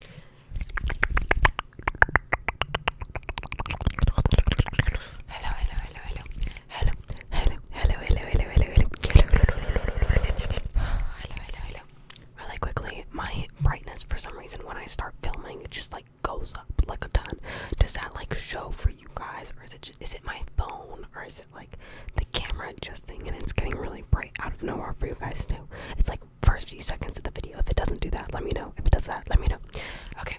Hello, hello, hello, hello, hello, hello, hello, hello, hello, hello, hello, hello, hello, hello. Really quickly, my brightness for some reason when I start filming just like goes up like a ton. Does that like show for you guys, or is it is it my phone, or is it like the camera adjusting and it's getting really bright out of nowhere for you guys too? It's like first few seconds of the video. If it doesn't do that, let me know. If it does that, let me know. Okay.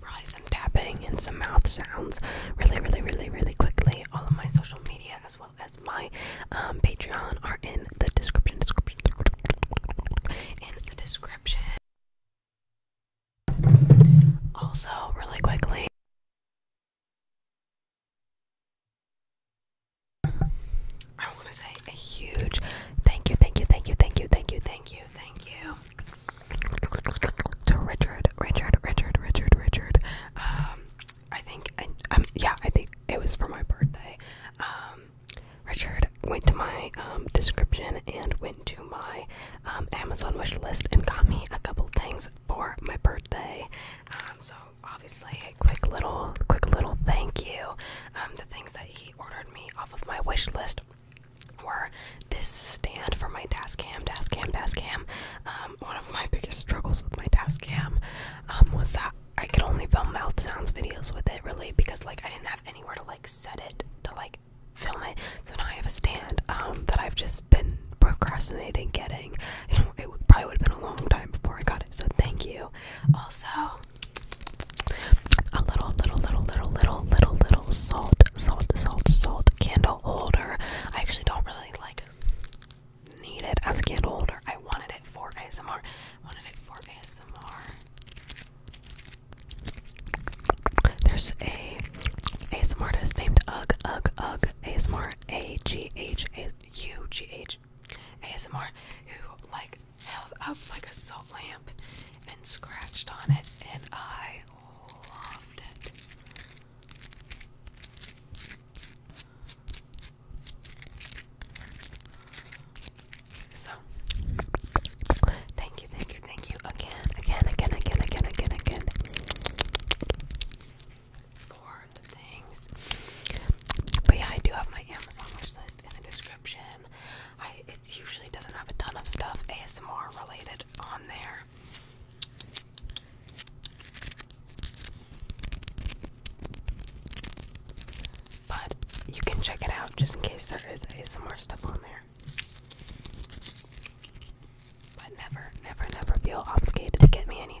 Probably some tapping and some mouth sounds really, really, really, really quickly. All of my social media as well as my um, Patreon are in the description. Description. In the description. Also, really quickly. I want to say a huge thank you, thank you, thank you, thank you, thank you, thank you thank you to Richard, Richard, Richard, Richard, Richard. Um, I think, I, um, yeah, I think it was for my birthday. Um, Richard went to my um, description and went to my um, Amazon wish list and got me a couple things for my birthday. Um, so obviously, a quick little, quick little thank you. Um, the things that he ordered me off of my wish list were this stand for my Tascam, Tascam, Tascam. Um, one of my biggest struggles with my Tascam um, was that I could only film mouth sounds videos with it, really, because like I didn't have anywhere to like set it to like film it. So now I have a stand um, that I've just been procrastinating getting. it probably would have been a long time before I got it. So thank you. Also, a little, little, little, little, little, little, little salt, salt, salt, salt candle holder. I actually don't really like need it as I get older. I wanted it for ASMR. I wanted it for ASMR. There's a ASMR artist named Ugg, Ugg, Ugg, ASMR, A G H A U G H ASMR, who like held up like a salt lamp and scratched on it, and I loved it. So, thank you, thank you, thank you again, again, again, again, again, again, for the things. But yeah, I do have my Amazon wish list in the description it usually doesn't have a ton of stuff ASMR related on there. But you can check it out just in case there is ASMR stuff on there. But never, never, never feel obligated to get me anything.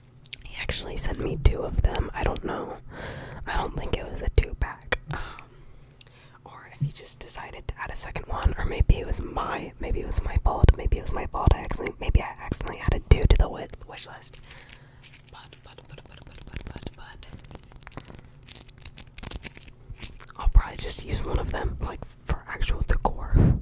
He actually sent me two of them. I don't know. I don't think it was a two pack. Um, or if he just decided to add a second one, or maybe it was my, maybe it was my fault, maybe it was my fault. I accidentally, maybe I accidentally added two to the wish, list. but, but, but, but, but, but, but, I'll probably just use one of them, like for actual decor.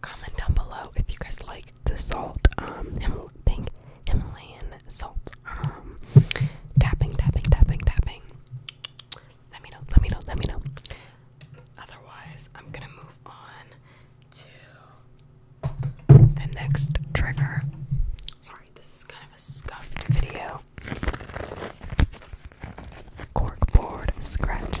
comment down below if you guys like the salt, um, Himal pink Himalayan salt, um, tapping, tapping, tapping, tapping. Let me know, let me know, let me know. Otherwise, I'm gonna move on to the next trigger. Sorry, this is kind of a scuffed video. Corkboard scratch.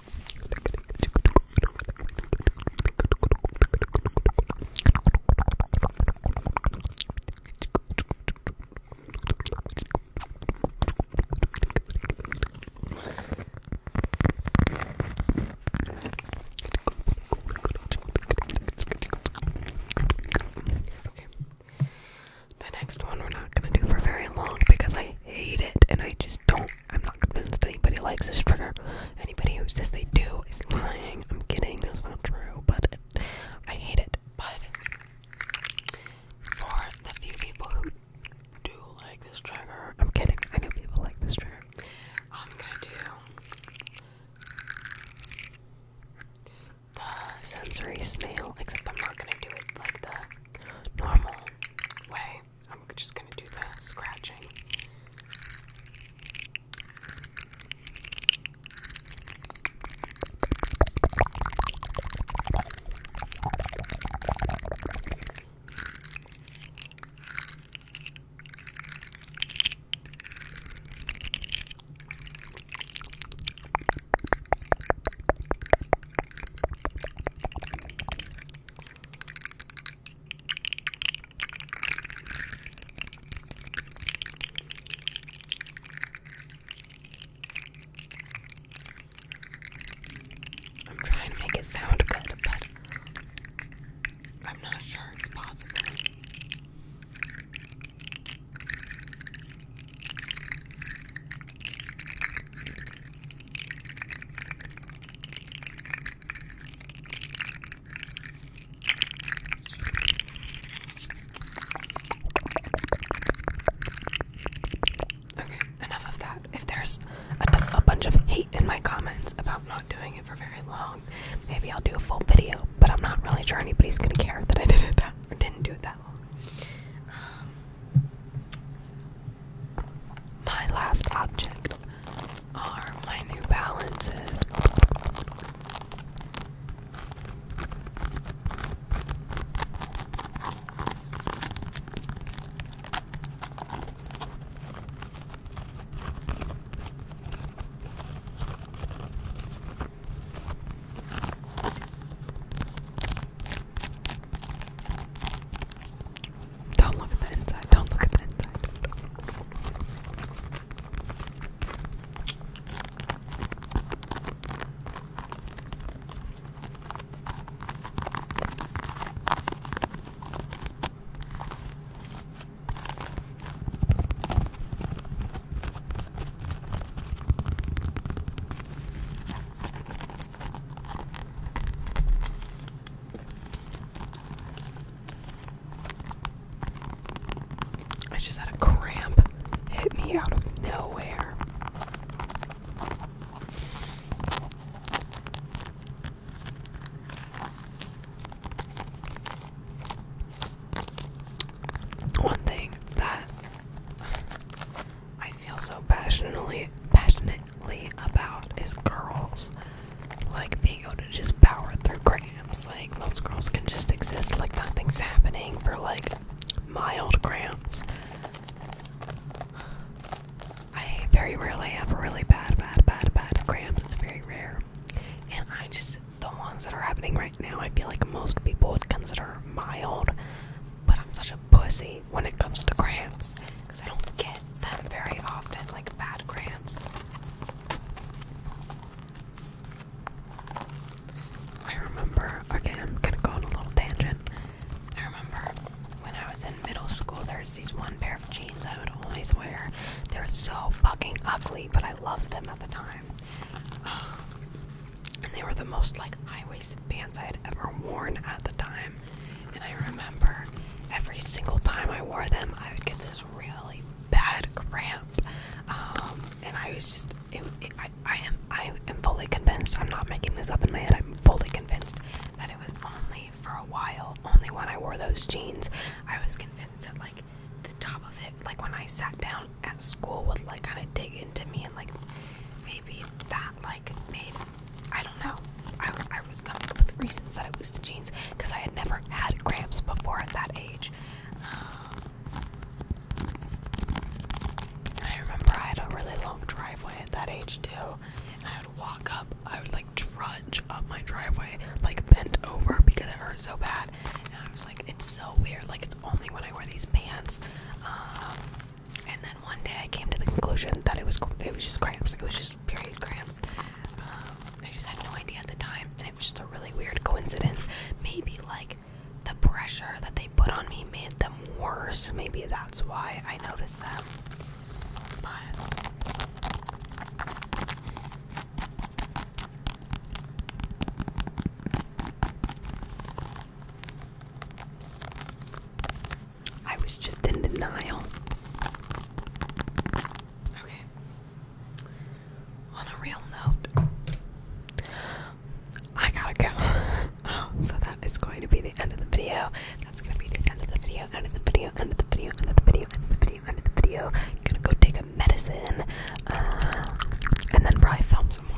Okay. The next one we're not going to do for very long because I hate it and I just don't I'm not convinced anybody likes this trigger. Anybody who says they do is lying. I'm kidding, that's not true, but I hate it. But for the few people who do like this trigger, I'm kidding, I know people like this trigger. I'm gonna do the sensory smell, except I'm not gonna do it like the normal way. I'm just gonna do the scratching. I'm trying to make it sound good, but I'm not sure it's possible. Okay, enough of that. If there's a, bunch of hate in my comments about not doing it for very long, maybe I'll do a full video. But I'm not really sure anybody's gonna care that I did it that didn't do it that long. Um, my last object are my new balances. Don't look at the inside. Don't look at the inside. I just had a cramp hit me out of nowhere. One thing that I I feel so passionately passionately about is girls like being able to just power through cramps. Like most girls can just exist like nothing's happening for like mild cramps. I very rarely have really bad, bad, bad, bad cramps. It's very rare. And I just, the ones that are happening right now, I feel like most people would consider mild. But I'm such a pussy when it comes to cramps because I don't get them very often, like bad cramps. I remember, okay, I'm gonna go on a little tangent. I remember when I was in middle school, There was these one pair of jeans I would always wear. They were so fucking ugly, but I loved them at the time. Um, and they were the most like high waisted pants I had ever worn at the time and I remember every single time I wore them, I would get this really bad cramp, um, and I was just. I, I am. I am fully convinced. I'm not making this up in my head. I'm fully convinced that it was only for a while, only when I wore those jeans. I was convinced that like the top of it, like when I sat down at school, would like kind of dig into me and like maybe that like made I don't know. I, I was coming up with reasons that it was the jeans because I had never had cramps before at that age. I remember I had a really long driveway at that age too. And I would walk up, I would like trudge up my driveway, like bent over because it hurt so bad. And I was like, it's so weird. Like, it's only when I wear these pants. Um, and then one day I came to the conclusion that it was it was just cramps. It was just period cramps. Um, I just had no idea at the time, and it was just a really weird coincidence. Maybe like the pressure that they put on me made them worse. Maybe that's why I noticed them. But I was just in denial. Okay. On a real note, I gotta go. Um, so that is going to be the end of the video. That's gonna be the end of the video, end of the video, end of the video, end of the video, end of the video, end of the video. gonna go take a medicine, uh, and then probably film some more